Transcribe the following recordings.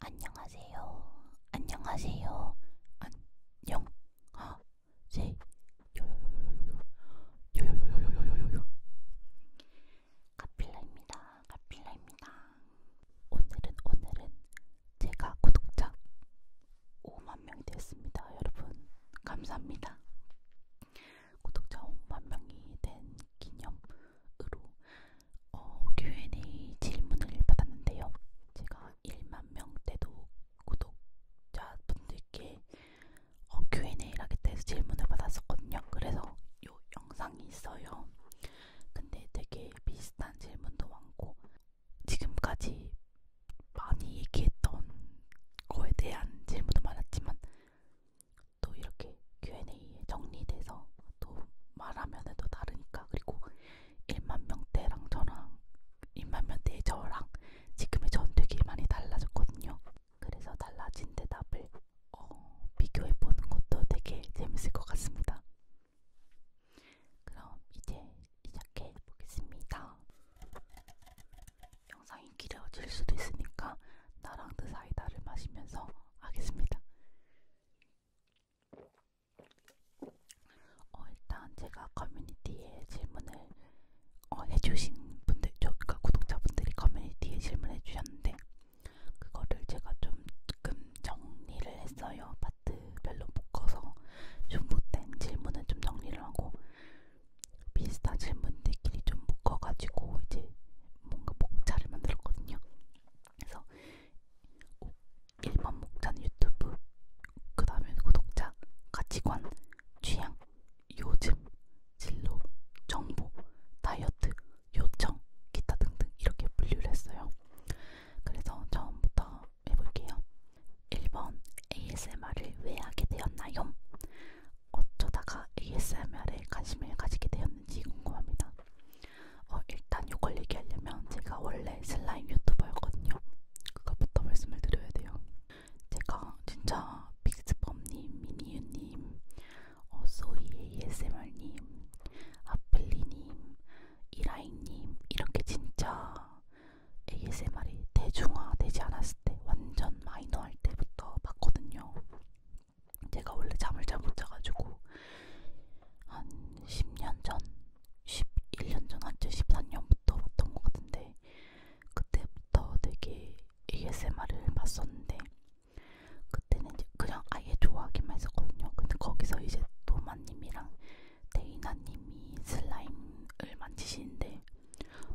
안녕하세요. 안녕하세요. 안녕. 하. 아, 세. 요요요요요요요요요요요요. 카필라입니다. 카필라입니다. 오늘은 오늘은 제가 구독자 5만 명 됐습니다. 여러분 감사합니다. 구독자 5만 명이 된 기념으로 어, Q&A 질문을 받았는데요. 제가 1만 명 때도 구독자분들께 어, Q&A를 하겠다 해서 질문을 받았었거든요. 그래서 요 영상이 있어요. 근데 되게 비슷한 질문도 많고 지금까지 많이 얘기했던 거에 대한 질문도 많았지만 또 이렇게 Q&A에 정리돼서 또 말하면은 또 다르니까 그리고 1만 명대랑 저랑 1만 명대의 저랑 지금의 전 되게 많이 달라졌거든요. 그래서 달라진 대답을 어, 비교해 보는 것도 되게 재밌을 것 같습니다. 그럼 이제 시작해 보겠습니다. 영상이 길어질 수도 있으니까 나랑 드 사이다를 마시면서 하겠습니다. 어, 일단 제가 커뮤니티에 질문을 어, 해주신 분들, 저, 그러니까 구독자분들이 커뮤니티에 질문해 주셨는데 그거를 제가 좀 조금 정리를 했어요. 파트별로 묶어서 중복된 질문은 좀 정리를 하고 비슷한 질문들끼리 좀 묶어가지고 이제 뭔가 목차를 만들었거든요. 그래서 1번 목차는 유튜브, 그 다음에 구독자, 가치관, 취향, 요즘, 진로, 정보, 다이어트, 요청, 기타 등등 이렇게 분류를 했어요. 그래서 처음부터 해볼게요. 1번 ASMR을 왜 하게 되었나요? 어쩌다가 ASMR에 관심을 가지게 되었는지 궁금합니다. 어, 일단 이걸 얘기하려면 제가 원래 슬라임 유튜버였거든요. 그거부터 말씀을 드려야 돼요. 제가 진짜 빅스범님, 미니유님, 어, 소이 ASMR님, 아플리님, 이라인님 이렇게 진짜 ASMR이 대중화되지 않았을 때 완전 마이너할 때부터 봤거든요. 제가 원래 잠을 잘 못 자가지고 한 10년 전, 11년 전, 한째 14년부터 봤던 것 같은데 그때부터 되게 ASMR을 봤었는데 그때는 이제 그냥 아예 좋아하기만 했었거든요. 근데 거기서 이제 도마님이랑 데이나님이 슬라임을 만지시는데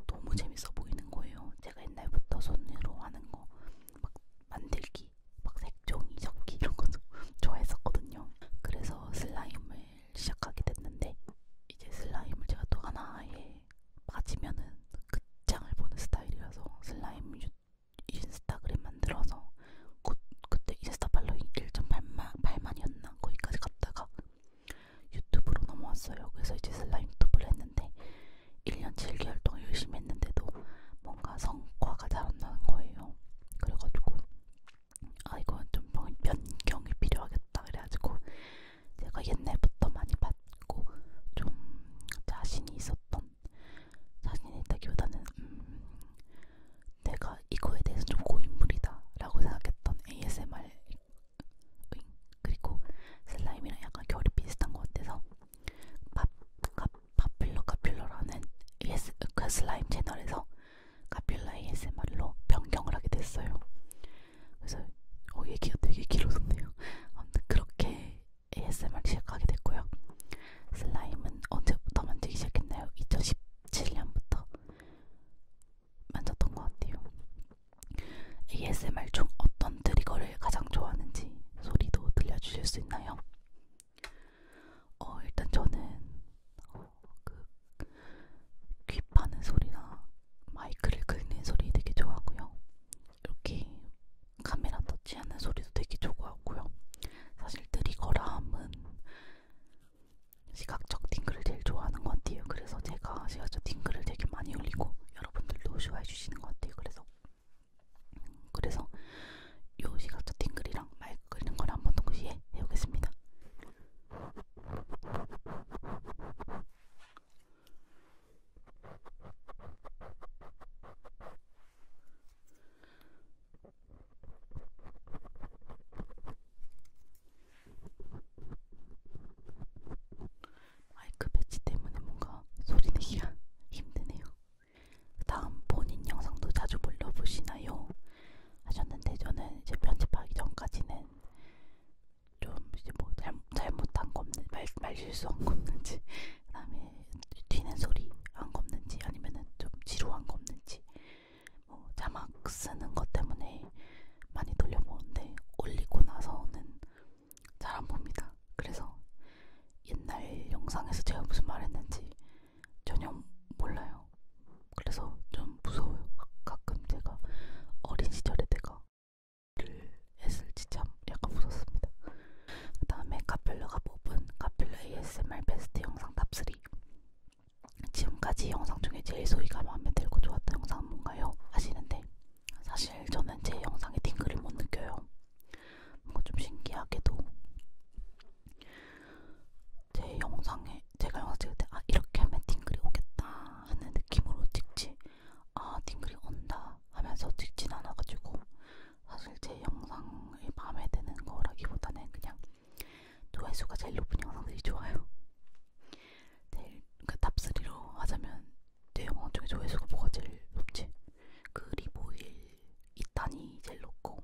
너무 재밌어 보이는 거예요. 제가 옛날부터 손으로 하는 거막 만들기, 막 색종이 접기 이런 것도 좋아했었거든요. 그래서 슬라임을 시작하게 됐는데 이제 슬라임을 제가 또 하나에 빠지면은 극장을 보는 스타일이라서 슬라임 유, 인스타그램 만들어서 그, 그때 인스타 팔로잉 1.8만 8만이었나 거기까지 갔다가 유튜브로 넘어왔어요. 그래서 이제 슬라임 유튜브를 했는데 1년 7개월 동안 열심히 했는데도 뭔가 성과가 잘안 나는 거예요. 그래가지고 아 이건 좀 변경이 필요하겠다 그래가지고 제가 옛날부터 많이 봤고 좀 자신이 있었던 자신이 있다기보다는 음, 내가 이거에 대해서 좀 고인물이다 라고 생각했던 ASMR 그리고 슬라임이랑 약간 결이 비슷한 것 같아서 파필러 카필러라는 AS, 그 슬라임 채널에서 카필라 ASMR로 e 변경을 하게 됐어요. 그래서 어, 얘기가 되게 길어졌네요. 아무튼 그렇게 ASMR e 시작하게 됐고요. 슬라임은 언제부터 만들기 시작했나요? 2017년부터 만졌던 것 같아요. ASMR 중 어떤 트리거를 가장 좋아하는지 소리도 들려주실 수 있나요? 어, 일단 저는 어, 그귀 파는 소리나 마이크를 긁는 소리 되게 좋아하고요. 이렇게 카메라 터치하는 소리도 되게 좋아하고요. 사실 트리거람은 시각적 딩글을 제일 좋아하는 것 같아요. 그래서 제가 시각적 딩글을 되게 많이 올리고 여러분들도 좋아해 주시는 것 같아요. 그래서 그래서 요 시각자 팅글이랑 말 끓이는 걸 한번 동시에 해보겠습니다. 마이크 배치 때문에 뭔가 소리 내기가 힘드네요. 다음 본인 영상도 자주 불러보시나요? 하셨는데 저는 이제 편집하기 전까지는 좀 이제 뭐 잘, 잘못한 거 없는 말, 말 실수한 거 없는지 그다음에 튀는 소리 안 없는지 아니면은 좀 지루한 거 없는지 뭐 자막 쓰는 것 때문에 많이 돌려보는데 올리고 나서는 잘안 봅니다. 그래서 옛날 영상에서 제가 무슨 말했는지 전혀 몰라요. 그래서 좀 무서워요. 가끔 제가 어린 시절에 내가 를 했을지 참 약간 무섭습니다. 그 다음에 카펠러가 뽑은 카펠러 ASMR 베스트 영상 탑3 지금까지 영상 중에 제일 소희가 마음에 들고 좋았던 영상은 뭔가요? 하시는데 사실 저는 제 영상에 팅글을 못 느껴요. 뭔가 좀 신기하게도 제 영상에 제가 영상 찍을 때 아 이렇게 하면 팅글이 오겠다 하는 느낌으로 찍지 아 팅글이 온다 하면서 찍진 않아가지고 사실 제 영상이 마음에 드는 거라기보다는 그냥 조회수가 제일 높은 영상들이 좋아요. 제일 그 탑3로 하자면 내용 네, 중에 어, 조회수가 뭐가 제일 높지? 그리보일 이탄이 제일 높고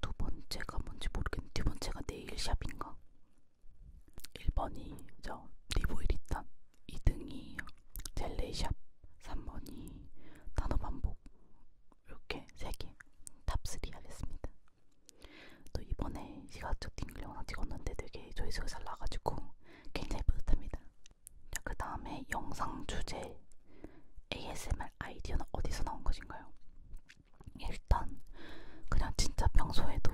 두 번째가 뭔지 모르겠는데 두 번째가 네일샵인가? 1번이 저 리보일 이탄 2등이 젤레이샵 3번이 단어반복 이렇게 3개 탑3 하겠습니다 또 이번에 시가적 딩글 영상 찍었는데 되게 조회수가 잘 나가지고 굉장히 뿌듯합니다. 자, 그 다음에 영상 주제 ASMR 아이디어는 어디서 나온 것인가요? 일단 그냥 진짜 평소에도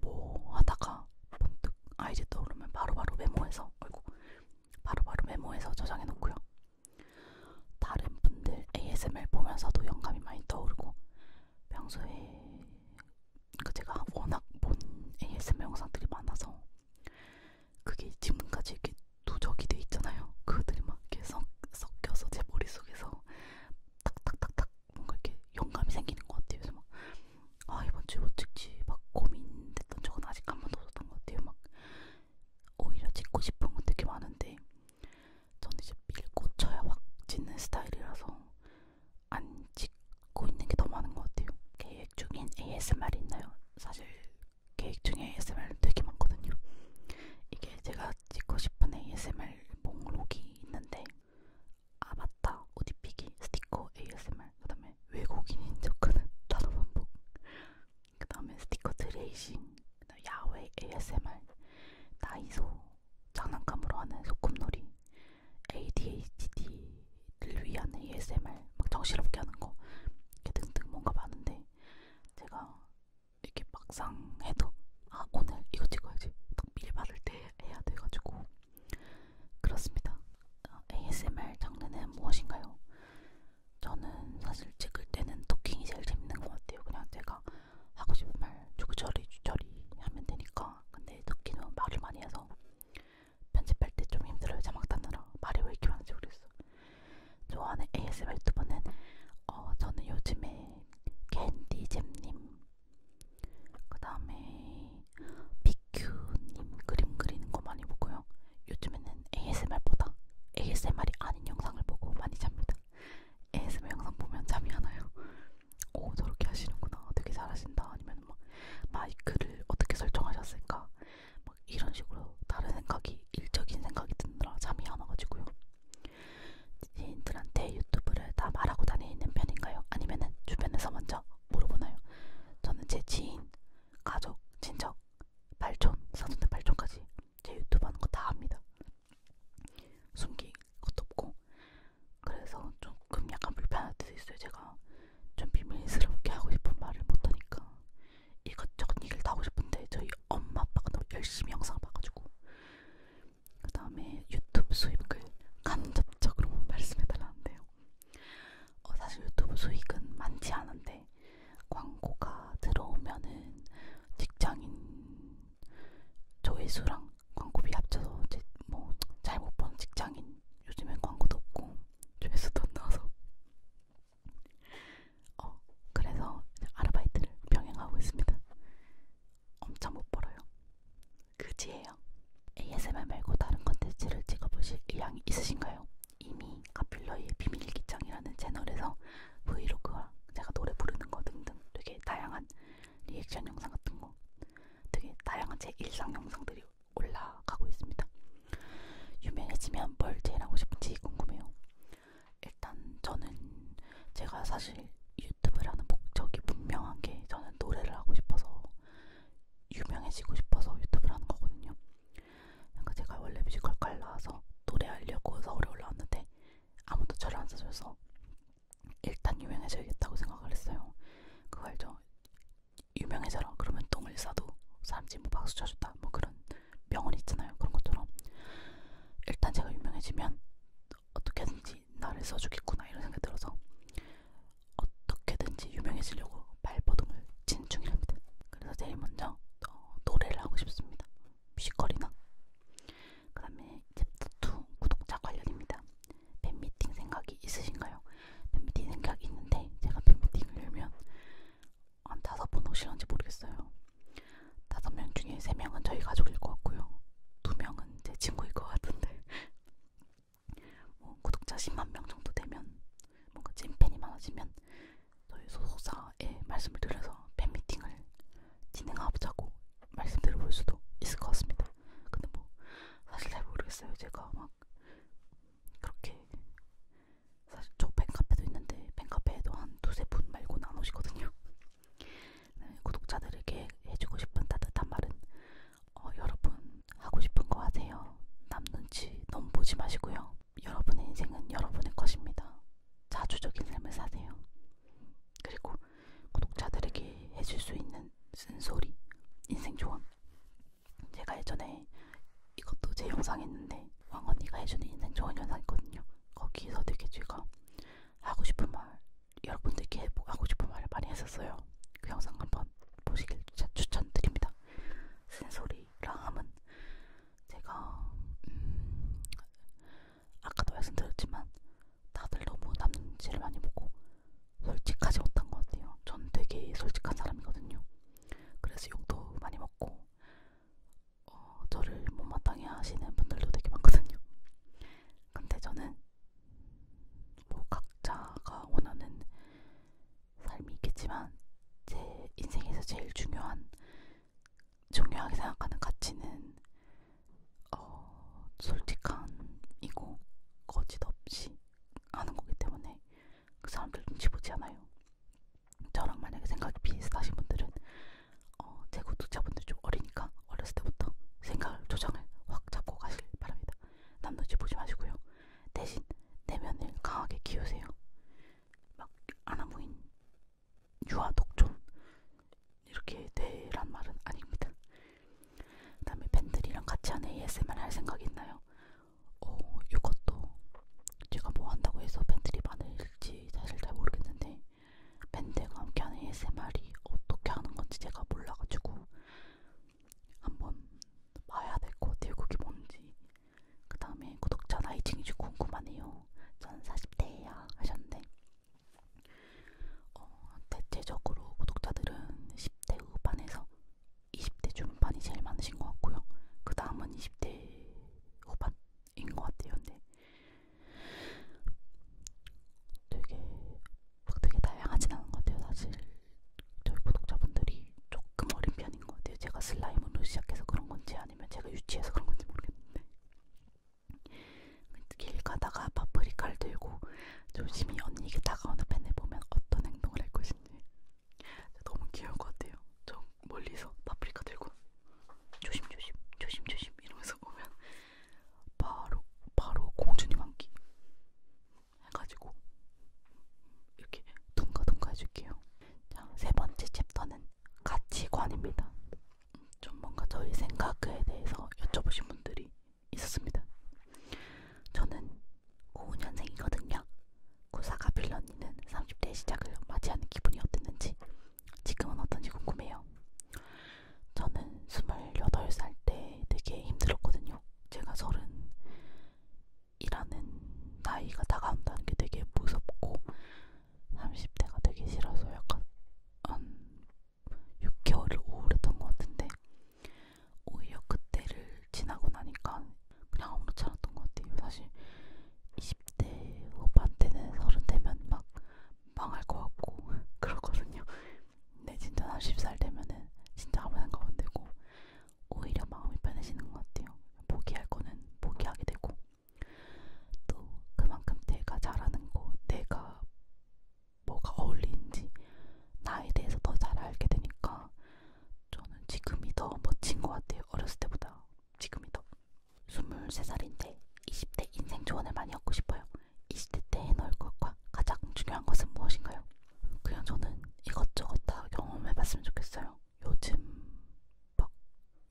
뭐 하다가 번뜩 아이디 떠오르면 바로바로 바로 메모해서 아이고 바로바로 바로 메모해서 저장해 놓고요. 다른 분들 ASMR 보면서도 영감이 많이 떠오르고 평소에 그 제가 워낙 본 ASMR 영상들이 많아서 그게 지금까지 이렇게 누적이 돼 있잖아요. 그들이 막 이렇게 섞, 섞여서 제 머릿속에서 탁탁탁탁 뭔가 이렇게 영감이 생기는 것 같아요. 그래서 막 아, 이번 주에 뭐 찍지 막 고민됐던 적은 아직 한 번도 없었던 것 같아요. 막 오히려 찍고 싶은 건 되게 많은데 저는 이제 밀고 쳐야 확 찍는 스타일이라서 안 찍고 있는 게 너무 많은 것 같아요. 계획 중인 ASMR이 있나요? 사실 계획 중에 ASMR 되게 많거든요. 이게 제가 찍고 싶은 ASMR 목록이 있는데 아바타, 오디피기, 스티커, ASMR, 그 다음에 외국인인 척하는 단어 반복, 그 다음에 스티커 드레이싱, 야외 ASMR, 다이소, 장난감으로 하는 소꿉놀이, ADHD를 위한 ASMR 막 정신없게 하는 거 이렇게 등등 뭔가 많은데 제가 이렇게 막상 해도 아 오늘 이거 찍어야지 딱 미리 받을 때 해야 돼가지고 그렇습니다. 어, ASMR 장르는 무엇인가요? 저는 사실 찍을 때는 토킹이 제일 재밌는 것 같아요. 그냥 제가 하고 싶은 말 주구저리 주저리 하면 되니까 근데 토킹은 말을 많이 해서 편집할 때 좀 힘들어요. 자막 닫느라 말이 왜 이렇게 많은지 모르겠어. 좋아하는 ASMR 유튜버는 어, 저는 요즘에 캔디잼님 그 다음에 비큐님 그림 그리는 거 많이 보고요. 요즘에는 ASMR보다 ASMR이 아닌 영상을 보고 많이 잡니다. ASMR 영상 보면 잠이 안 와요. 오 어, 저렇게 하시는구나 되게 잘하신다 아니면 막 마이크를 어떻게 설정하셨을까 막 이런 식으로 다른 생각이 일적인 생각이 드느라 잠이 안 와가지고요. 지인들한테 유튜브를 다 말하고 다니는 편인가요? 아니면은 주변에서 먼저 물어보나요? 저는 제 지인, 가족, 친척, 발촌, 사촌들 발촌까지 제 유튜브 하는 거 다 합니다. 숨길 것도 없고 그래서 조금 약간 불편할 때도 있어요. 제가 좀 비밀스럽게 하고 싶은 말을 못하니까 이것저것 얘기를 다 하고 싶은데 저희 엄마 아빠가 너무 열심히 영상 봐가지고 그 다음에 유튜브 수익을 간접적으로 말씀해달라는데요. 어, 사실 유튜브 수익은 많지 않은데 광고가 들어오면은 직장인 조회수랑 광고비 합쳐서 뭐잘 못 버는 직장인 요즘엔 광고도 없고 조회수도 안 나와서 어 그래서 아르바이트를 병행하고 있습니다. 엄청 못 벌어요. 그지예요. ASMR 말고 다른 컨텐츠를 찍어보실 의향이 있으신가요? 이미 카필러의 비밀기장이라는 채널에서 브이로그와 제가 노래 부르는 거 등등 되게 다양한 리액션 영상 같은 거 되게 다양한 제 일상 영상들이 올라가고 있습니다. 유명해지면 뭘 제일하고 싶은지 궁금해요. 일단 저는 제가 사실 유튜브라는 목적이 분명한 게 저는 노래를 하고 싶어서 유명해지고 싶어서 유튜브를 하는 거거든요. 그러니까 제가 원래 뮤지컬과를 나와서 노래하려고 서울에 올라왔는데 아무도 저를 안 써줘서 일단 유명해져야겠다고 생각을 했어요. 그거 알죠? 유명해져라. 그러면 똥을 싸도 사람들이 뭐 박수 쳐줬다. 뭐 그런 명언 있잖아요. 그런 것처럼 일단 제가 유명해지면 어떻게든지 나를 써주겠구나 이런 생각이 들어서 어떻게든지 유명해지려고 발버둥을 친 중이랍니다. 그래서 제일 먼저 어, 노래를 하고 싶습니다. 뮤지컬이나 그 다음에 챕터 2 구독자 관련입니다. 팬미팅 생각이 있으신가요? 팬미팅 생각이 있는데 제가 팬미팅을 열면 한 다섯 분 오실런지 모르겠어요. 다섯 명 중에 세 명은 저희 가족일 것 같고요. 두 명은 제 친구일 것 같은데 뭐 구독자 10만 명 정도 되면 뭔가 찐팬이 많아지면 저희 소속사에 말씀을 드려서 팬미팅을 진행하자고 말씀드려볼 수도 있을 것 같습니다. 근데 뭐 사실 잘 모르겠어요. 제가 막 그렇게 사실 저 팬카페도 있는데 팬카페에도 한 두세 분 말고는 안 오시거든요. 네, 구독자들에게 해주고 싶은 따뜻한 말은 어, 여러분 하고 싶은 거 하세요. 남 눈치 너무 보지 마시고요. 여러분의 인생은 여러분의 것입니다. 자주적인 삶을 사세요. 그리고 구독자들에게 해줄 수 있는 쓴소리, 인생 조언. 제가 예전에 이것도 제 영상 했는데 왕언니가 해주는 인생 조언 영상 있거든요. 거기서 되게 제가 하고 싶은 말, 여러분들께 해보, 하고 싶은 말을 많이 했었어요. 그 영상 한번 보시길 추천드립니다. 쓴소리랑 함은 제가 음, 아까도 말씀드렸지만 다들 너무 남는지를 많이 보고 솔직하지 못한 것 같아요. 전 되게 솔직한 사람이거든요. 그래서 욕도 많이 먹고 어, 저를 못마땅해 하시는 분들도 되게 많거든요. 근데 저는 뭐 각자가 원하는 삶이 있겠지만 제 인생에서 제일 중요한 중요하게 생각하는 가치는 어, 솔직함이고 거짓 없이 하는 거기 때문에 그 사람들 눈치 보지 않아요. 저랑 만약에 생각이 비슷하신 분들은 어, 제 구독자분들 좀 어리니까 어렸을 때부터 생각을 조정을 확 잡고 가실 바랍니다. 남 눈치 보지 마시고요. 대신 내면을 강하게 키우세요. 막 아나무인 유아 독존 이렇게 되란 말은 아닙니다. 그 다음에 팬들이랑 같이 하는 ASMR 할 생각 있나요? 어, 이것도 제가 뭐 한다고 해서 팬들이 많을지 사실 잘 모르겠는데 밴드가 함께 하는 ASMR이 어떻게 하는 건지 제가 몰라가지고 한번 봐야 될 것 같아요. 그게 뭔지. 그 다음에 구독자 나이층이 좀 궁금하네요. 저는 40대예요. 하셨는데 어, 대체적으로 구독자들은 10대 후반에서 20대 중반이 제일 많으신 것 같고요. 그 다음은 20대 후반인 것 같아요. 근데 네. 되게 막 되게 다양하진 않은 것 같아요. 사실 저희 구독자분들이 조금 어린 편인 것 같아요. 제가 슬라임으로 시작해서 그런 건지 아니면 제가 유치해서 그런 건지 모르겠는데 길 가다가 파프리카를 들고 조심히 언니에게 다가오는 팬을 보면 어떤 행동을 할 것인지 너무 귀여울 것 같아요. 저 멀리서 파프리카 들고 조심 조심 조심 조심 이러면서 오면 바로 바로 공주님 한기 해가지고 이렇게 둥가둥가 해줄게요. 자, 세 번째 챕터는 가치관입니다. 좀 뭔가 저희 생각에 대해서 여쭤보신 분들이 있었습니다. 저는 95년생이거든요. 구사가 빌런이는 30대의 시작을 맞이하는 기분이 어땠는지 지금은 어떤지 궁금해요. 저는 28살 때 되게 힘들었거든요. 제가 30이라는 나이가 다가온다는 게 되게 무섭고 30대가 되게 싫어서 약간 음, 6개월을 우울했던 것 같은데 오히려 그때를 지나고 나니까 그냥 아무렇지 않았던 것 같아요. 사실 20대 후반 때는 서른 되면 막 망할 것 같고 그렇거든요. 근데 진짜 30살 되면은 진짜 아무 생각 안 되고 오히려 마음이 편해지는 것 같아요. 포기할 거는 포기하게 되고 또 그만큼 내가 잘하는 거, 내가 뭐가 어울리는지 나에 대해서 더 잘 알게 되니까 저는 지금이 더 멋진 것 같아요. 어렸을 때보다 지금이 더. 23살인데 20대 인생 조언을 많이 얻고 싶어요. 20대 때의 널 것과 가장 중요한 것은 무엇인가요? 그냥 저는 이것저것 다 경험해봤으면 좋겠어요. 요즘 막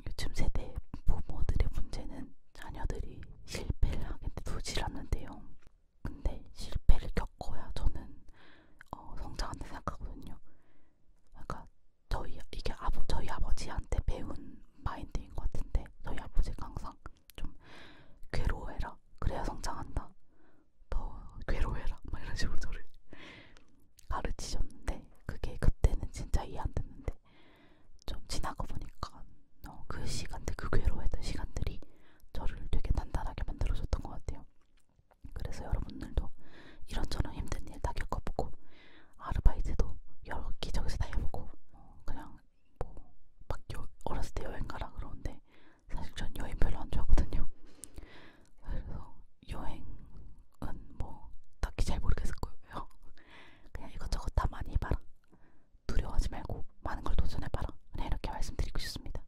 요즘 세대 부모들의 문제는 자녀들이 실패를 하게 되지 않는데요. 근데 실패를 겪어야 저는 어, 성장한다 생각하거든요. 그러니까 저희 이게 아버 저희 아버지한테 배운 마인드인 것 같은데 저희 아버지가 항상 좀 괴로워해라 그래야 성장한다 더 괴로워해라 막 이런 식으로 저를 가르치셨는데 그게 그때는 진짜 이해 안 됐는데 좀 지나고 보니까 어, 그 시간들 그 괴로워했던 시간들이 저를 되게 단단하게 만들어줬던 것 같아요. 그래서 여러분들도 이런저런 힘든 일 다 겪어보고 아르바이트도 여러 기저에서 다 해보고 어, 그냥 뭐막 어렸을 때 여행 가라 그러는데 사실 전 여행 별로 안 좋아하거든요. 그래서 여행은 뭐 딱히 잘 모르겠을 거예요. 그냥 이것저것 다 많이 해봐라. 두려워하지 말고 많은 걸 도전해봐라. 그냥 네, 이렇게 말씀드리고 싶습니다.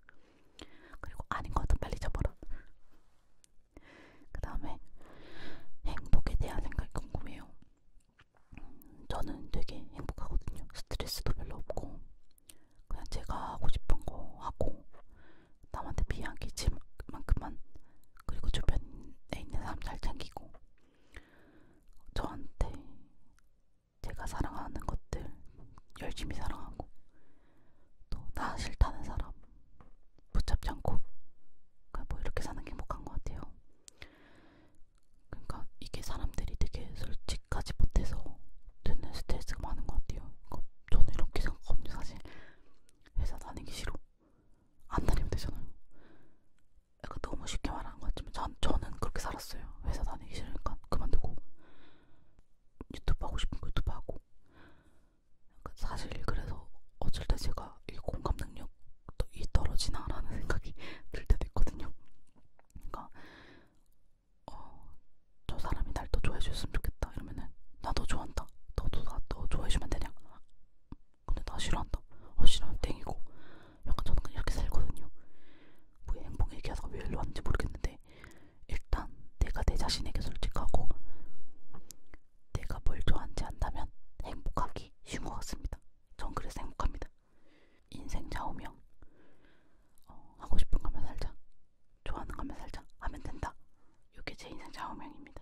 그리고 아닌 것도 빨리 접어라. 그 다음에 행복에 대한 생각이 궁금해요. 음, 저는 되게 행복하거든요. 스트레스도 별로 없고 그냥 제가 하고 싶은 거 하고 남한테 피해 안 끼칠 만큼만 그리고 주변에 있는 사람 잘 챙기고 저한테 제가 사랑하는 것들 열심히 사랑하고 또 나 싫다는 사람 붙잡지 않고 그러니까 뭐 이렇게 사는 게 행복한 것 같아요. 그러니까 이게 사람들이 되게 솔직하지 못해서 듣는 스트레스가 많은 것 같아요. 그러니까 저는 이렇게 생각하거든요. 사실 회사 다니기 싫어 안 다니면 되잖아요. 약간 너무 쉽게 말하는 것 같지만 전, 저는 그렇게 살았어요. 회사 다니기 싫으니까 그만두고 유튜브 하고 싶은 거 유튜브 하고 약간 사실 그래서 어쩔 때 제가 이 공감 능력이 떨어지나라는 생각이 들 때도 있거든요. 그러니까 어, 저 사람이 날 더 좋아해 줬으면 좋겠다 이러면은 나너 좋아한다. 너도 나너 좋아해 주면 되냐? 근데 나 싫어한다. 어 싫어하면 땡이고 약간 저는 그냥 이렇게 살거든요. 뭐 행복 얘기하다가 왜 일로 왔는지 모르겠는데 일단 내가 내 자신에게 솔직하고 내가 뭘 좋아하는지 안다면 행복하기 쉬운 것 같습니다. 전 그래서 행복합니다. 인생 좌우명 어, 하고 싶은 거면 살자 좋아하는 거면 살자 하면 된다. 이게 제 인생 좌우명입니다.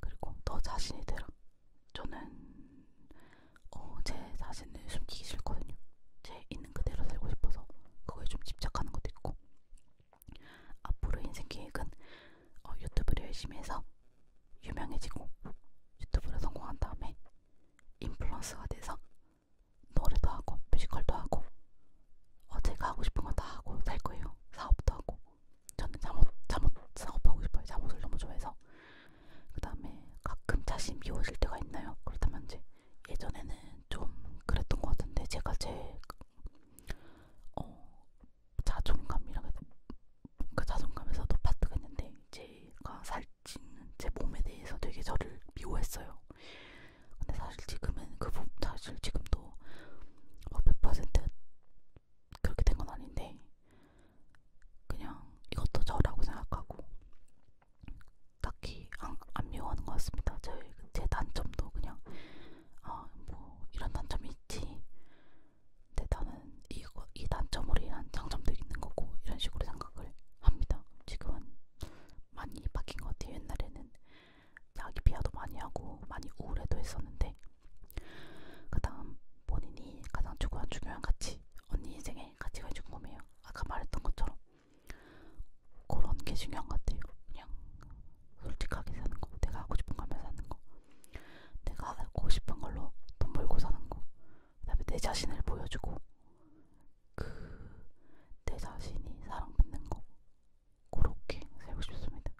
그리고 너 자신이 되라. 저는 어, 제 자신을 숨기기 싫거든요. 제 있는 그대로 살고 싶어서 그거에 좀 집착하는 것도 있고 앞으로 인생 계획은 어, 유튜브를 열심히 해서 유명해지고 유튜브로 성공한 다음에 인플루언서가 돼서 노래도 하고 뮤지컬도 하고 어, 제가 하고 싶은 거다 하고 살 거예요. 사업도 하고 저는 잠옷, 잠옷 사업하고 싶어요. 잠옷을 너무 좋아해서 그 다음에 가끔 자신 미워질 때가 있나요? 그렇다면 이제 예전에는 좀 그랬던 것 같은데 제가 제 어, 자존감이라고 그 자존감에서도 파트가 있는데 제가 살찌는 제 몸에 대해서 되게 저를 미워했어요. 근데 사실 지금은 그 부분 사실 지금도 막 어, 몇 퍼센트 그렇게 된 건 아닌데 그냥 이것도 저라고 생각하고 딱히 안, 안 미워하는 것 같습니다. 제, 제 단점도 그냥 아 뭐 이런 단점이 있지. 근데 나는 이, 이 단점으로 인한 장점도 있는 거고 이런 식으로 생각을 합니다. 지금은 많이 바뀐 것 같아요. 옛날에는 자기 비하도 많이 하고 많이 우울해도 했었는데 그 다음 본인이 가장 중요한, 중요한 가치 언니 인생에 때문에 가치가 궁금해요. 아까 말했던 것처럼 그런 게 중요한 것 같아요. 그냥 솔직하게 사는 거, 내가 하고 싶은 걸만 사는 거, 내가 하고 싶은 걸로 돈 벌고 사는 거, 그다음에 내 자신을 보여주고 그 내 자신이 사랑받는 거 그렇게 살고 싶습니다.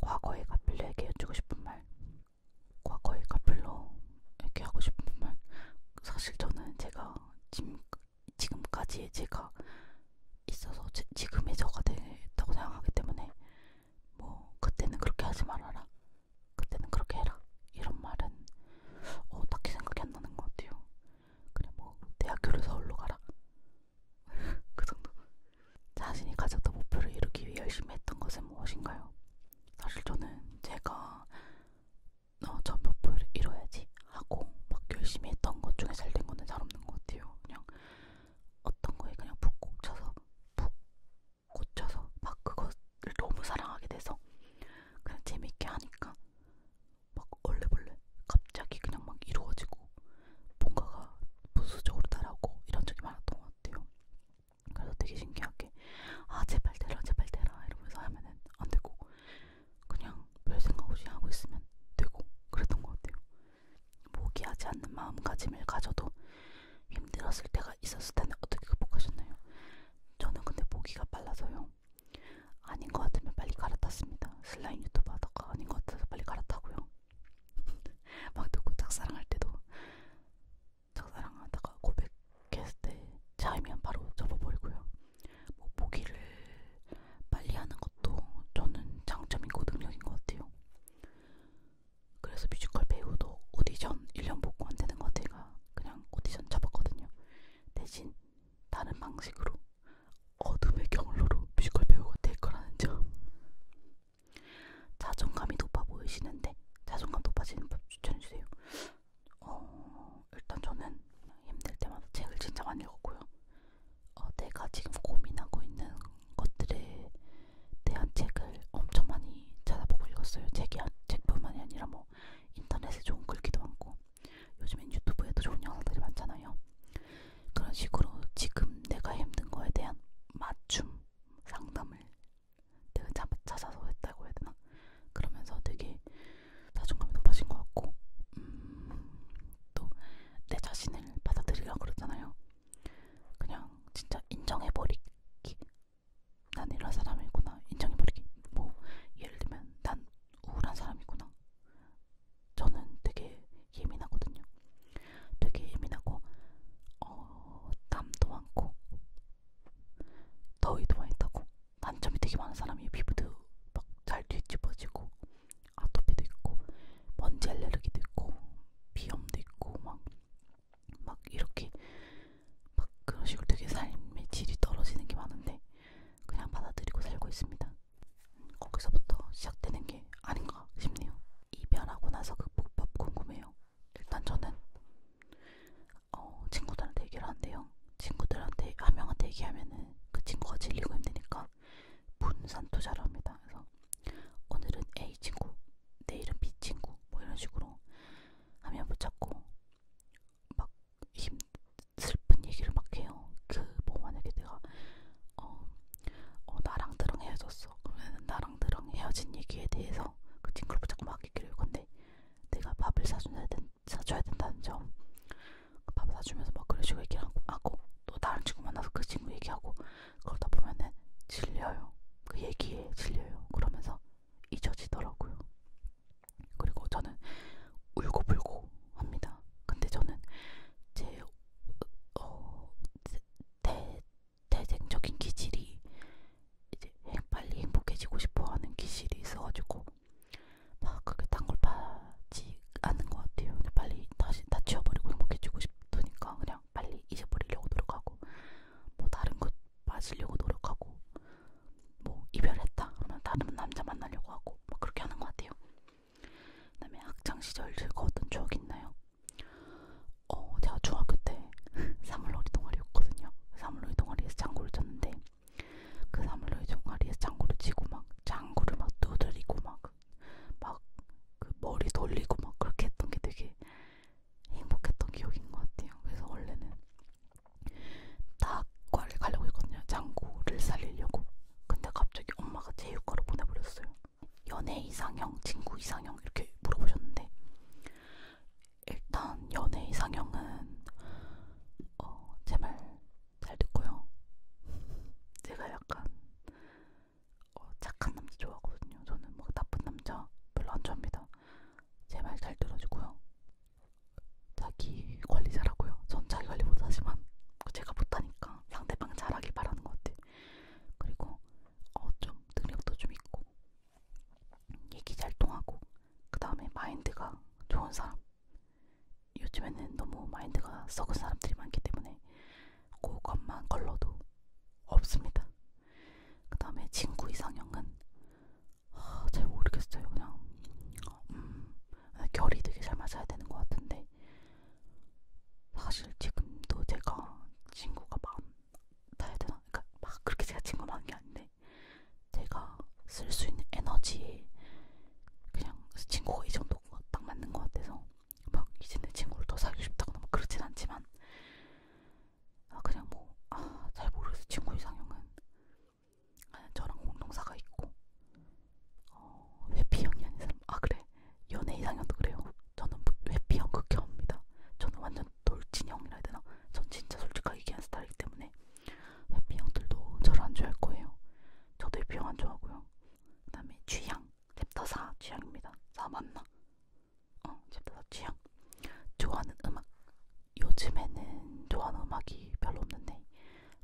과거에 가필레에게 해주고 싶은 말 과거의 카펠로 얘기하고 싶은 말 사실 저는 제가 지금, 지금까지의 제가 있어서 제, 지금의 저가 됐다고 생각하기 때문에 뭐 그때는 그렇게 하지 말아라 그때는 그렇게 해라 이런 말은 어, 딱히 생각이 안 나는 것 같아요 그래 뭐 대학교를 서울로 가라 그 정도 자신이 가졌던 목표를 이루기 위해 열심히 했던 것은 무엇인가요? 사실 저는 제가 너 어, 전표를 이뤄야지 하고 막 열심히 했던 것 중에 잘된 거는 잘 없는 것 같아요. 그냥 어떤 거에 그냥 푹 꽂혀서 푹 꽂혀서 막 그거를 너무 사랑하게 돼서 그냥 재밌게 하니까 막 얼레벌레 갑자기 그냥 막 이루어지고 뭔가가 부수적으로 달하고 이런 적이 많았던 것 같아요. 그래서 되게 신기하게 아 제발 대라 제발 대라 이러면서 하면은 안 되고 그냥 별 생각 없이 하고 있으면 되고 그랬던 것 같아요. 포기하지 않는 마음가짐을 가져도 힘들었을 때가 있었을 텐데 어떻게 극복하셨나요? 저는 근데 보기가 빨라서요. 아닌 것 같으면 빨리 갈아탔습니다. 슬라임 유튜브 하다가 아닌 것 같아서 빨리 갈아타고요. 막 듣고 짝사랑할 때도 짝사랑하다가 고백했을 때 차이면 바로 접어버리고요. 뭐 보기를 빨리 하는 것도 저는 장점이고 능력인 것 같아요. 그래서 뮤지컬 배우도 오디션 1년 보고 안 되는 것 같아요. 그냥 오디션 쳐봤거든요. 대신 다른 방식으로 어둠의 경로로 뮤지컬 배우가 될 거라는 점. 자존감이 높아 보이시는데 자존감 높아지는 법 추천해주세요. 어, 일단 저는 힘들 때마다 책을 진짜 많이 읽었고요. 어, 내가 지금 고민하고 있는 것들에 대한 책을 엄청 많이 찾아보고 읽었어요. 책이, 책뿐만이 아니라 뭐 인터넷에 좋은 글귀도 많고 요즘엔 유튜브에도 좋은 영상들이 많잖아요. 그런 식으로 지금 내가 힘든 거에 대한 맞춤 상담을 내가 찾아서 했다고 해야 되나? 그러면서 되게 자존감이 높아진 것 같고 음, 또내 자신을 받아들이라 그러잖아요. 그냥 진짜 인정해버리기. 난 이런 사람이구나. 인정해버리기. 뭐 예를 들면 난 우울한 사람이구나. 저는 되게 예민하거든요. 되게 예민하고 어, 땀도 많고 더위도 많이 타고 단점이 되게 많은 사람이 피부도 막 잘 뒤집어지고 아토피도 있고 먼지 알레르기도 있고 비염도 있고 막막 막 이렇게 막 그런 식으로 되게 삶의 질이 떨어지는 게 많은데 그냥 받아들이고 살고 있습니다. 음, 거기서부터 시작되는 게 아닌가 싶네요. 이별하고 나서 극복법 그 궁금해요. 일단 저는 어, 친구들한테 얘기를 한대요. 친구들한테 한 명한테 얘기하면은 그 친구가 질리고 힘드니까 분산 투자를 합니다. 그래서 오늘은 A 친구, 내일은 B 친구 뭐 이런 식으로 하면 붙잡고 막 힘 슬픈 얘기를 막 해요. 그 뭐 만약에 내가 어, 어 나랑 드렁 헤어졌어. 그러면 나랑 드렁 헤어진 얘기에 대해서 그 친구를 붙잡고 막 바뀌기로 건데 내가 밥을 사줘야, 된, 사줘야 된다는 점 그 밥을 사주면서 막 그래주고 얘기하고 하고, 또 다른 친구 만나서 그 친구 얘기하고 그러다 보면은 질려요 그 얘기에 질려요 그러면서 잊어지더라고요 그리고 저는 울고불고 합니다 근데 저는 제 어, 대, 태생적인 기질이 이제 빨리 행복해지고 싶어하는 기질이 있어가지고 막 그렇게 단걸 파지 않는 것 같아요. 근데 빨리 다시 다 치워버리고 행복해지고 싶으니까 그냥 빨리 잊어버리려고 노력하고 뭐 다른 것 빠지려고 노력하고 뭐 이별했다 그러면 다른 남자 만나려고 하고 막 뭐 그렇게 하는 것 같아요. 그다음에 학창 시절 즐거웠던 추억 있나요? 어, 제가 중학교 때 사물놀이 동아리였거든요. 사물놀이 동아리에서 장구를 쳤는데 그 사물놀이 동아리에서 장구를 치고 막 장구를 막 두드리고 막막그 머리 돌리고 막 그렇게 했던 게 되게 행복했던 기억인 것 같아요. 그래서 원래는 다과를 가려고 했거든요. 장구를 살리려고. 근데 갑자기 엄마가 제육과로 보내버렸어요. 연애 이상형, 친구 이상형 이렇게 물어보셨는데 일단 연애 이상형은 어, 제말 잘 듣고요. 제가 약간 어, 착한 남자 좋아하거든요. 저는 막 뭐 나쁜 남자 별로 안 좋아합니다. 제 말 잘 들어주고요. 자기 관리 잘하고요. 전 자기 관리 못하지만 제가 못하니까 상대방 잘하길 바라는 것 같아요. 그리고 어, 좀 능력도 좀 있고 얘기 잘 통하고 그 다음에 마인드가 좋은 사람 요즘에는 너무 마인드가 썩은 사람들이 많기 때문에 그것만 걸러도 없습니다. 그 다음에 친구 이상형은 아, 잘 모르겠어요. 그냥 음, 결이 되게 잘 맞아야 되는 것 같은데 사실 지금도 제가 친구가 해야 되나? 그러니까 막 그렇게 제가 친구만 한게 아닌데 제가 쓸 수 있는 에너지에 그냥 친구가 이 정도가 딱 맞는 것 같아서 막 이제 내 친구를 더 사귀고 싶다거나 뭐 그렇진 않지만 아 그냥 뭐 아 잘 모르겠어 친구 이상형은 저랑 공동사가 있고 어 회피형이 아닌 사람 아 그래 연애 이상형도 그래요 저는 뭐 회피형 극혐입니다. 저는 완전 돌진형이라 해야 되나? 전 진짜 솔직하게 얘기한 스타일이기 때문에 회피형들도 저를 안 좋아할 거예요. 저도 회피형 안 좋아하고요. 그 다음에 취향. 챕터 4 취향입니다. 4 맞나? 어, 챕터 4 취향. 좋아하는 음악. 요즘에는 좋아하는 음악이 별로 없는데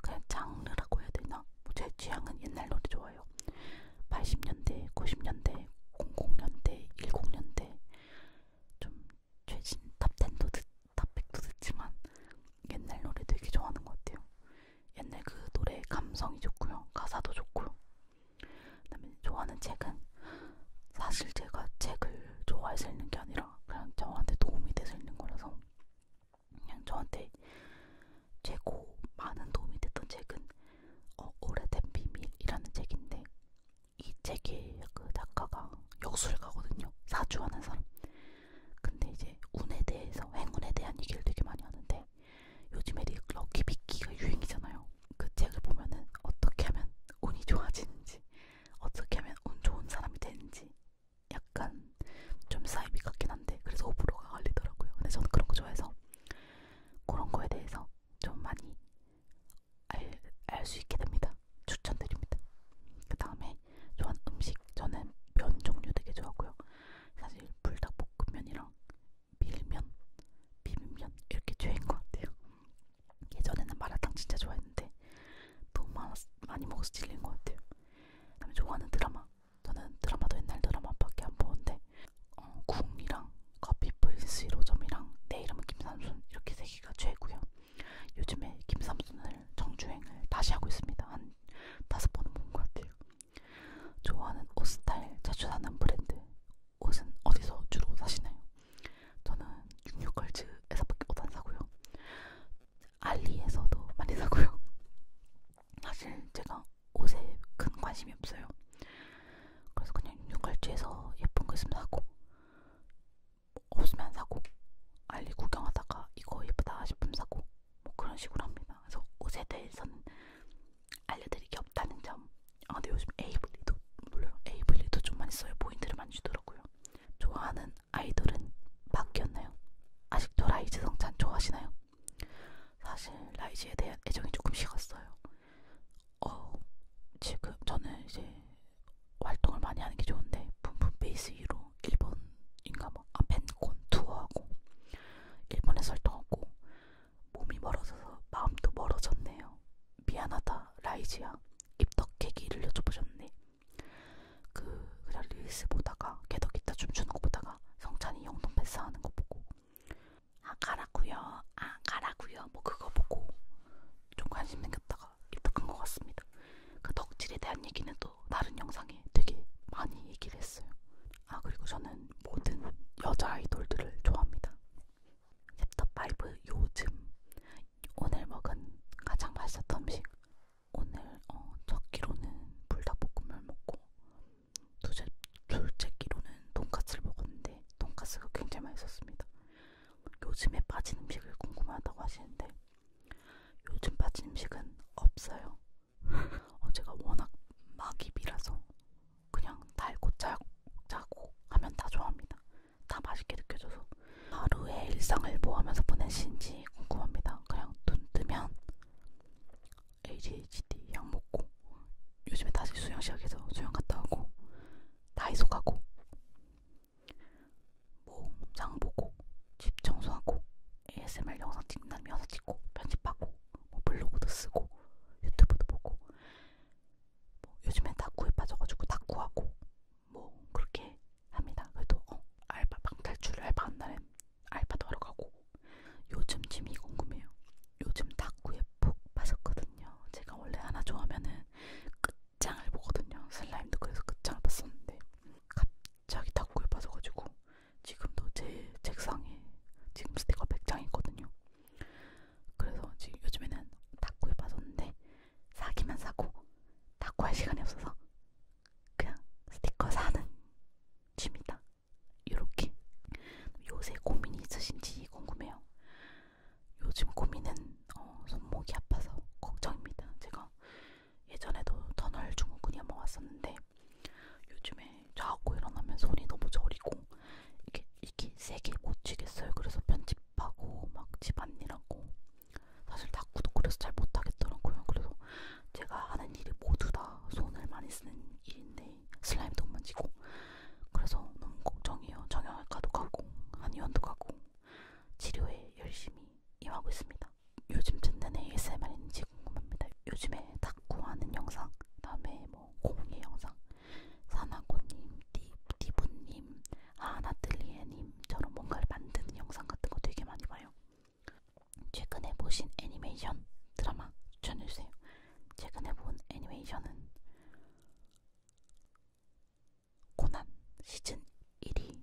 그냥 장르라고 해야 되나? 뭐 제 취향은 옛날 노래 좋아해요. 80년대, 90년대, 00년대, 10년대 좀 최신 탑10도 듣, 탑100도 듣지만 옛날 노래 되게 좋아하는 것 같아요. 옛날 그 노래 감성이 좋고요. 가사도 좋고요. 그다음에 좋아하는 책은 사실 제가 책을 좋아해서 읽는 게 아니라 그냥 저한테 도움이 돼서 읽는 거라서 그냥 저한테 최고 많은 도움이 됐던 책은 어, 오래된 비밀이라는 책인데 이 책의 그 작가가 역술가거든요. 사주하는 사람. 근데 이제 운에 대해서 행운에 대한 얘기를 되게 많이 하는데 요즘에 럭키비키가 유행이잖아요. 그 책을 보면은 어떻게 하면 운이 좋아지는지 어떻게 하면 운 좋은 사람이 되는지 약간 좀 사이비 같긴 한데 그래서 호불호가 갈리더라고요. 근데 저는 그런 거 좋아해서 그런 거에 대해서 좀 많이 알수 있게 됩니다. 추천드립니다. 그 다음에 좋아하는 음식 저는 면 종류 되게 좋아하고요. 사실 불닭볶음면이랑 밀면, 비빔면 이렇게 죄인 것 같아요. 예전에는 마라탕 진짜 좋아했는데 너무 많았, 많이 먹어서 질린 것 같아요. 그다음에 좋아하는 드라마 저는 드라마도 옛날 드라마밖에 안 보는데 어, 궁이랑 커피 프린스 1호점이랑 내 이름은 김삼순 이렇게 세 개가 최고요. 요즘에 김삼순을 정주행을 다시 하고 있습니다. 한 다섯 번은 본 것 같아요. 좋아하는 옷 스타일, 자주 사는 브랜드, 옷은 어디서 주로 사시나요? 저는 66걸즈에서밖에 옷안 사고요. 알리에서도 많이 사고요. 사실 제가 옷에 큰 관심이 없어요. 그래서 그냥 육갈지에서 예쁜 거 있으면 사고 없으면 안 사고 알리 구경하다가 이거 예쁘다 싶으면 사고 뭐 그런 식으로 합니다. 그래서 옷에 대해서는 알려드릴 게 없다는 점. 아 근데 요즘 에이블리도 물론 에이블리도 좀 많이 써요. 포인트를 많이 주더라고요. 좋아하는 아이돌은 바뀌었나요? 아직도 라이즈 성찬 좋아하시나요? 사실 라이즈에 대한 애정이 조금 식었어요. 어, 지금 저는 이제 활동을 많이 하는 게 좋은데 붐붐 베이스 위로 일본인가 뭐 아, 밴콘 투어하고 일본에서 활동하고 몸이 멀어져서 마음도 멀어졌네요. 미안하다 라이지야. 입덕캐기를 여쭤보셨네. 그 그냥 릴스 보다가 개덕 기타 춤추는 거 보다가 성찬이 영동 패스하는 거 보고 아 가라구요 아 가라구요 뭐 그거 보고 좀 관심 생겼다가 입도 큰것 같습니다 그 덕질에 대한 얘기는 또 다른 영상에 되게 많이 얘기를 했어요 아 그리고 저는 모든 여자 아이돌들을 좋아합니다 챕터5 요즘 오늘 먹은 가장 맛있었던 음식 오늘 어, 첫 끼로는 불닭볶음면 먹고 두째, 결제기로는 돈까스를 먹었는데 돈까스가 굉장히 맛있었습니다. 요즘에 빠진 음식을 궁금하다고 하시는데 요즘 빠진 음식은 없어요. 어, 제가 워낙 막입이라서 그냥 달고 짜고, 짜고 하면 다 좋아합니다. 다 맛있게 느껴져서 하루의 일상을 뭐 하면서 보내시는지 궁금합니다. 그냥 눈 뜨면 ADHD 약 먹고 요즘에 다시 수영 시작해서 수영 갔다 오고 다이소 가고 뭐장 보고 집 청소하고 ASMR 영상 찍는다면 영상 찍고 편집하고 뭐 블로그도 쓰고 유튜브도 보고 뭐 요즘엔 다쿠에 빠져가지고 다쿠하고 뭐 그렇게 합니다. 그래도 어, 알바 방탈출 알바 한다는 알바도 하러 가고 요즘 짐이 궁금해요. 요즘 다구에 푹 빠졌거든요. 제가 원래 하나 좋아하면은 끝장을 보거든요. 슬라임도 그래서 끝장을 봤었는데 갑자기 다구에 빠져가지고 지금도 제 책상에 지금 스티커 100장 있거든요. 그래서 지금 요즘에는 다구에 빠졌는데 사기만 사고 다구할 시간이 없어서 그냥 스티커 사는 취미다. 이렇게 요새 고민이 있으신지 궁금해요. 요즘 고민은 어, 손목이 아파서 걱정입니다. 제가 예전에도 터널 중후군이한 왔었는데 요즘에 자고 일어나면 손이 너무 저리고 이게 이게 세게 못 치겠어요. 그래서 편집하고 막 집안일하고 사실 탁구도 그래서 잘 못하겠더라고요. 그래서 제가 하는 일이 모두 다 손을 많이 쓰는 일인데 슬라임도 못 만지고 그래서 너무 걱정이에요. 정형외과도 가고 한의원도 가고 치료에 열심히 임하고 있습니다. 요즘 듣는 ASMR인지 궁금합니다. 요즘에 탁구하는 영상, 그다음에 뭐 공예 영상, 사나고님, 디, 디브님, 아나틀리에님처럼 뭔가를 만드는 영상 같은 거 되게 많이 봐요. 최근에 보신 애니메이션 드라마 추천해주세요. 최근에 본 애니메이션은 코난 시즌 1이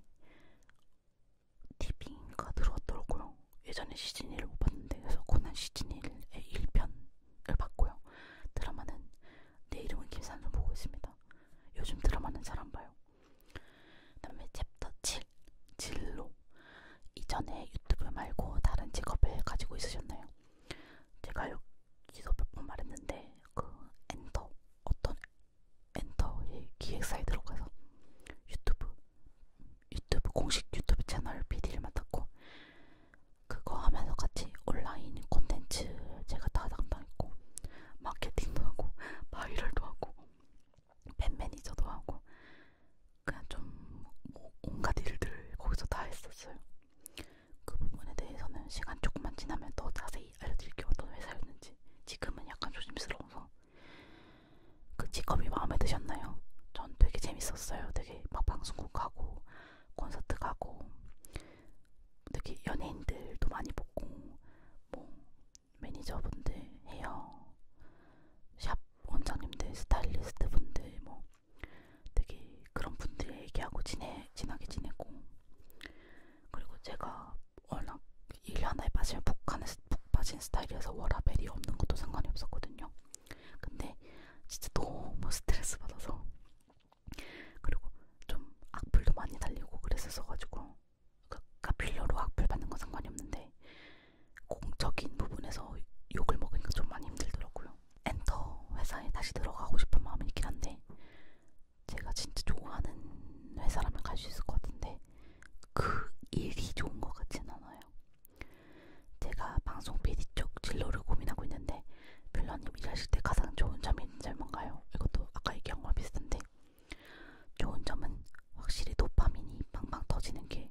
TV인가 들어왔더라고요. 예전에 시즌 1을 못 봤는데 그래서 코난 시즌 1의 1편을 봤고요. 드라마는 내 이름은 김산준 보고 있습니다. 요즘 드라마는 잘 안 봐요. 그다음에 챕터 7 진로 이전에 유튜브 말고 다른 직업을 가지고 있으셨나요? 제가 여기서 몇번 말했는데 그 엔터 어떤 엔터의 기획사에 들어가서 유튜브 유튜브 공식 유튜브 채널 PD를 맡았고 그거 하면서 같이 온라인 콘텐츠 제가 다 담당했고 마케팅도 하고 바이럴도 하고 팬 매니저도 하고 그냥 좀뭐 온갖 일들 거기서 다 했었어요. 그 부분에 대해서는 시간 조금만 지나면 더 자세히 알려드릴게요. 어떤 회사였는지. 지금은 약간 조심스러워서. 그 직업이 마음에 드셨나요? 전 되게 재밌었어요. 되게 막 방송국 가고, 콘서트 가고, 되게 연예인들도 많이 보고, 뭐, 매니저분들, 헤어, 샵 원장님들, 스타일리스트분들, 뭐, 되게 그런 분들 얘기하고 지내, 친하게 지내고 그리고 제가 워낙 일 하나에 빠지면 북한에서 북 빠진 스타일이어서 워라벨이 없는 것도 상관이 없었거든요. 근데 진짜 너무 스트레스 받아서 그리고 좀 악플도 많이 달리고 그랬었어가지고 카필러로 악플 받는 건 상관이 없는데 공적인 부분에서 욕을 먹으니까 좀 많이 힘들더라고요. 엔터 회사에 다시 들어가고 싶은 마음이 있긴 한데 제가 진짜 좋아하는 회사라면 갈 수 있을 것 같은데 그 일이 좋은 것 같진 않아요. 제가 방송 PD 쪽 진로를 고민하고 있는데 별러님 일하실 때 가장 좋은 점이 있는 뭔가요? 이것도 아까 얘기한 거랑 비슷한데 좋은 점은 확실히 도파민이 방방 터지는 게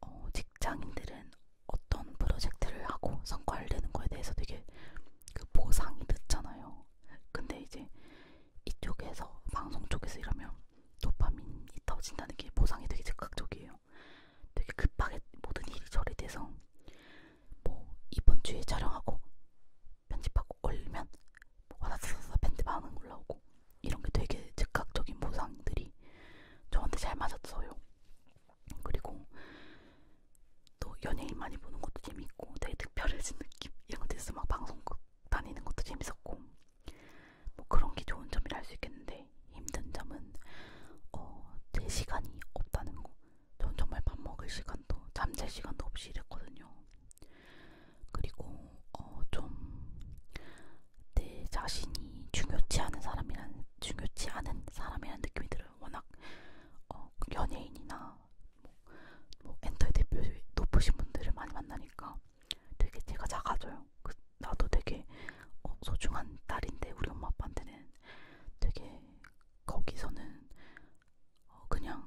어, 직장인들은 어떤 프로젝트를 하고 성과를 내는 거에 대해서 되게 그 보상이 늦잖아요. 근데 이제 이쪽에서 방송 쪽에서 일하면 도파민이 터진다는 게 보상이 되게 즉각적이에요. 되게 급하게 모든 일이 처리돼서 뭐 이번 주에 촬영하고 편집하고 올리면 뭐 와다다다다 밴드반응 올라오고 이런 게 되게 즉각적인 보상들이 저한테 잘 맞았어요. 그리고 또 연예인 많이 보는 것도 재밌고 되게 특별해진 느낌 이런 것도 있어 막 방송국 그 다니는 것도 재밌었고 뭐 그런 게 좋은 점이라 할 수 있겠는데 힘든 점은 어, 제 시간이 없다는 거. 전 정말 밥 먹을 시간도 잠잘 시간도 없이 이랬거든요. 그리고 어, 좀 내 자신이 중요치 않은 사람이라는 중요치 않은 사람이라는 느낌이 들어요. 워낙 어, 연예인이나 뭐, 뭐 엔터의 대표 높으신 분들을 많이 만나니까 되게 제가 작아져요. 그, 나도 되게 어, 소중한 딸인데 우리 엄마 아빠한테는 되게 거기서는 어, 그냥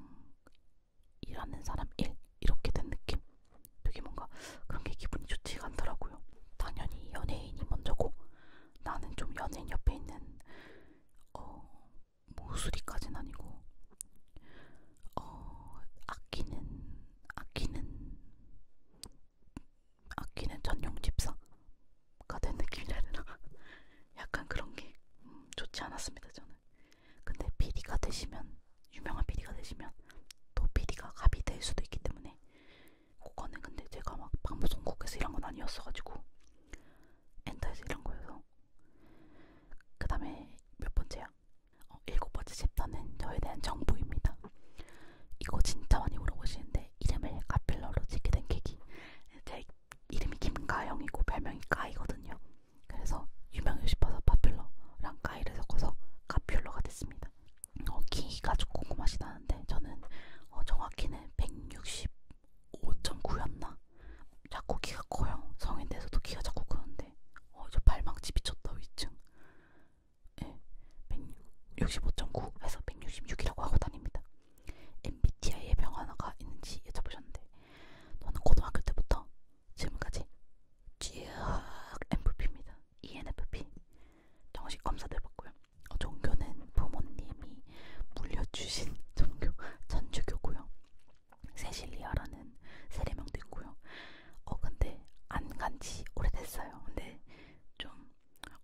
일하는 사람 일 이렇게 된 느낌. 되게 뭔가 그런 게 기분이 좋지가 않더라고요. 당연히 연예인이 먼저고 나는 좀 연예인 옆에 있는 어 모수리까지는 아니고 어 아끼는 아끼는 아끼는 전용 집사가 된 느낌이라나 약간 그런 게 음, 좋지 않았습니다 저는. 근데 PD가 되시면 유명한 PD가 되시면 또 PD가 갑이 될 수도 있기 때문에 그거는 근데 제가 막 방송국에서 일한 건 아니었어가지고 엔터에서 일한 거여서 그 다음에 몇 번째야? 어, 일곱 번째 챕터는 저에 대한 정보입니다. 이거 진짜 많이 물어보시는데 이름을 카필러로 짓게 된 계기 제 이름이 김가영이고 별명이 까이거든요. 그래서 유명해 싶어서 파필러랑 까이를 섞어서 카필러가 됐습니다. 어, 키가 좀 궁금하시다는데 저는 어, 정확히는 165.9였나? 자꾸 키가 커요. 성인 돼서도 키가 자꾸 크는데 어, 저 발망치 미쳤다 위층. 네, 165.9 해서 166이라고 하고 다닙니다. MBTI의 병 하나가 있는지 여쭤보셨는데 저는 고등학교 때부터 지금까지 쭉 MVP입니다. ENFP 정식 검사도 해봤고요. 어, 종교는 부모님이 물려주신 종교 천주교고요. 세실리아라는 세례명도 있고요. 어 근데 안간지 오래됐어요. 근데 좀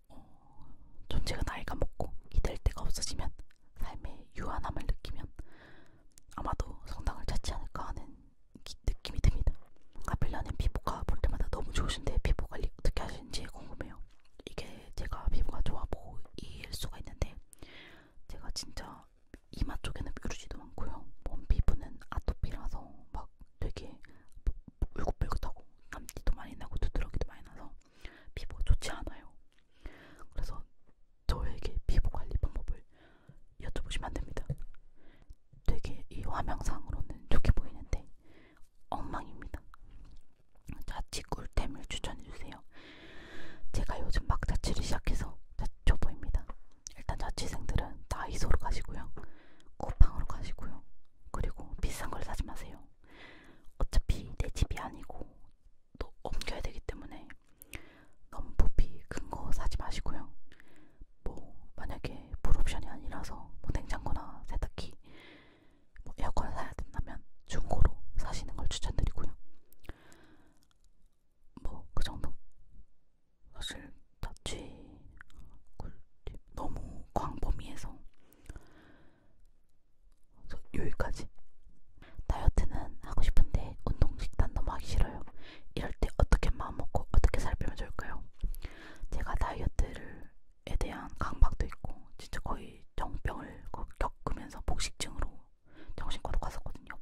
어, 좀 제가 나이가 먹고 기댈 데가 없어지면 삶의 유한함을 느끼면 아마도 성당을 찾지 않을까 하는 기, 느낌이 듭니다. 카필라는 피부가 볼 때마다 너무 좋으신데 피부 관리 어떻게 하시는지 궁금해요. 이게 제가 피부가 좋아 보일 수가 있는데 제가 진짜 이마 쪽에는 뾰루지도 많고요. 몸 피부는 아토피라서 막 되게 울긋불긋하고 남티도 많이 나고 두드러기도 많이 나서 피부가 좋지 않아요. 그래서 저에게 피부 관리 방법을 여쭤보시면 안 됩니다. 되게 이 화면상으로는 좋게 보이는데 엉망입니다. 자취 꿀템을 추천해주세요. 제가 요즘 막 자취를 시작해서 초보입니다. 일단 자취생들은 다이소로 가시고요. 쿠팡으로 가시고요. 그리고 비싼 걸 사지 마세요. 어차피 내 집이 아니고 또 옮겨야 되기 때문에 너무 부피 큰 거 사지 마시고요. 뭐 만약에 불옵션이 아니라서 뭐 냉장고나 세탁기 뭐 에어컨을 사야 된다면 중고로 사시는 걸 추천드리고요. 뭐 그 정도. 사실 자취 꿀팁 너무 광범위해서 여기까지. 다이어트는 하고 싶은데 운동 식단 너무 하기 싫어요. 이럴 때 어떻게 마음 먹고 어떻게 살 빼면 좋을까요? 제가 다이어트를 대한 강박도 있고 진짜 거의 정병을 겪으면서 복식증으로 정신과도 갔었거든요.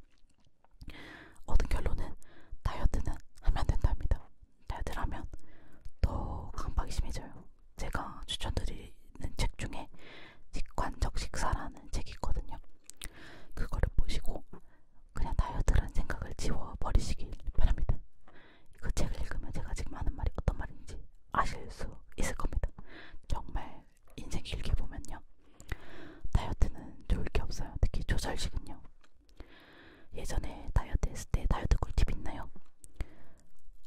얻은 결론은 다이어트는 하면 안 된답니다. 다이어트를 하면 더 강박이 심해져요. 제가 추천드리는 책 중에 직관적 식사라는 책이 있거든요. 그거를 보시고 그냥 다이어트라는 생각을 지워버리시길 바랍니다. 그 책을 읽으면 제가 지금 하는 말이 어떤 말인지 아실 수 있을 겁니다. 정말 인생 길게 보면요. 다이어트는 좋을 게 없어요. 특히 조절식은요. 예전에 다이어트 했을 때 다이어트 꿀팁 있나요?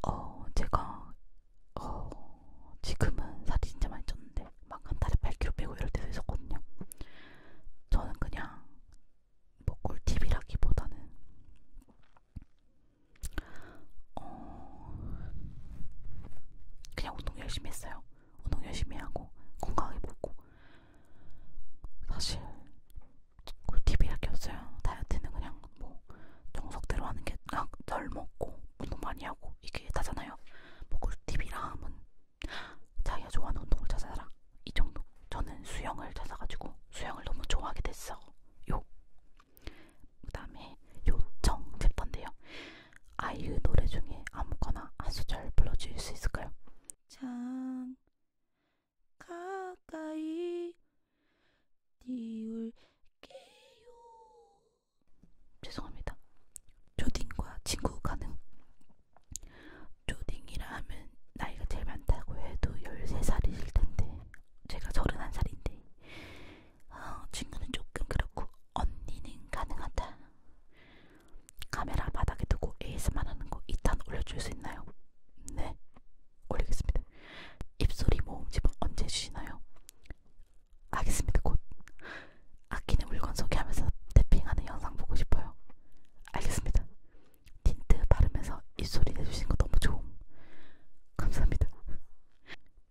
어, 제가, 어, 지금은 살이 진짜 많이 쪘는데, 막 한 달에 8kg 빼고 이럴 때도 있었거든요. 저는 그냥 뭐 꿀팁이라기보다는 어 그냥 운동 열심히 했어요. 운동 열심히 하고 건강하게 먹고 사실 꿀팁이라기 없어요. 다이어트는 그냥 뭐 정석대로 하는 게덜 아, 먹고 운동 많이 하고 이게 다잖아요. 뭐 꿀팁이라 하면 자기가 좋아하는 운동을 찾아라. 이 정도. 저는 수영을 찾아가지고 수영을 너무 좋아하게 됐어. 요. 그 다음에 요청 챕터인데요. 아이유 노래 중에 아무거나 한 소절 불러줄 수 있을까요? 참 가까이 띄울게요. 죄송합니다. 조딩과 친구 가능. 조딩이라 하면 나이가 제일 많다고 해도 13살이실 텐데 제가 31살인데 어, 친구는 조금 그렇고 언니는 가능하다 카메라 바닥에 두고 AS만 하는 거 2탄 올려줄 수 있나요? 네 올리겠습니다 입소리 모음집은 언제 주시나요? 알겠습니다 곧 아끼는 물건 소개하면서 태핑하는 영상 보고 싶어요 알겠습니다 틴트 바르면서 입소리 내주신 거 너무 좋음. 감사합니다.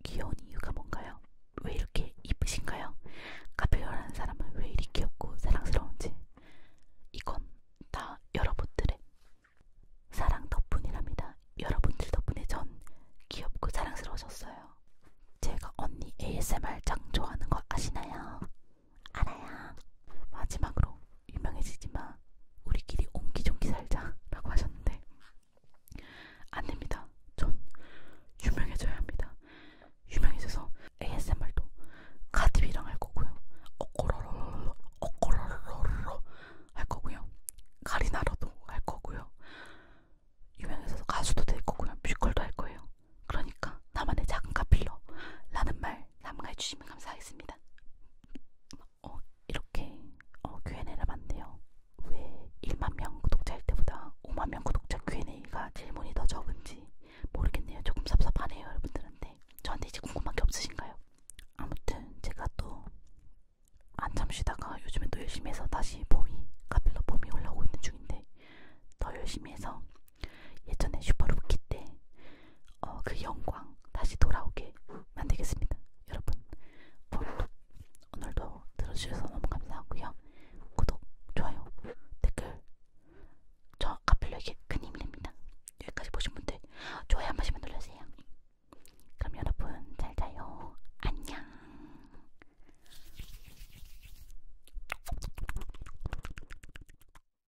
귀여운 이유가 뭔가요? 왜 이렇게 이쁘신가요? 카페라는 사람은 왜 이리 귀엽고 사랑스러운지 이건 다 여러분들의 사랑 덕분이랍니다. 여러분들 덕분에 전 귀엽고 사랑스러워졌어요. 제가 언니 ASMR 짱 좋아하는 거 아시나요? 알아요. 마지막으로 유명해지지 마. 우리끼리 옹기종기 살자라고 하셨는데 안 됩니다. 전 유명해져야 합니다. 유명해져서 ASMR도 가티비랑 할 거고요. 어꼬로로로로 어꼬로로로로 할 거고요. 가리나라도 할 거고요. 유명해져서 가수도 될 거고요. 뮤지컬도 할 거예요. 그러니까 나만의 작은 카필러라는 말잘 삼가해 주시면 감사하겠습니다. 어, 이렇게 어, Q&A를 해봤는데요. 왜 1만 명 구독자일 때보다 5만 명 구독자 Q&A가 질문이 더 적은지 모르겠네요. 조금 섭섭하네요, 여러분들한테. 저한테 이제 궁금한 게 없으신가요? 아무튼 제가 또 한참 쉬다가 요즘에 또 열심히 해서 다시 봄이, 카필러 봄이 올라오고 있는 중인데 더 열심히 해서 예전에 슈퍼로키 때그 어, 그 영광 다시 돌아오게 만들겠습니다. 여러분 오늘도, 오늘도 들어주셔서 너무 감사하고요. 구독, 좋아요, 댓글 저 카필러에게 큰 힘이 됩니다. 여기까지 보신 분들 좋아요 한 번씩만 눌러주세요. 그럼 여러분 잘 자요. 안녕.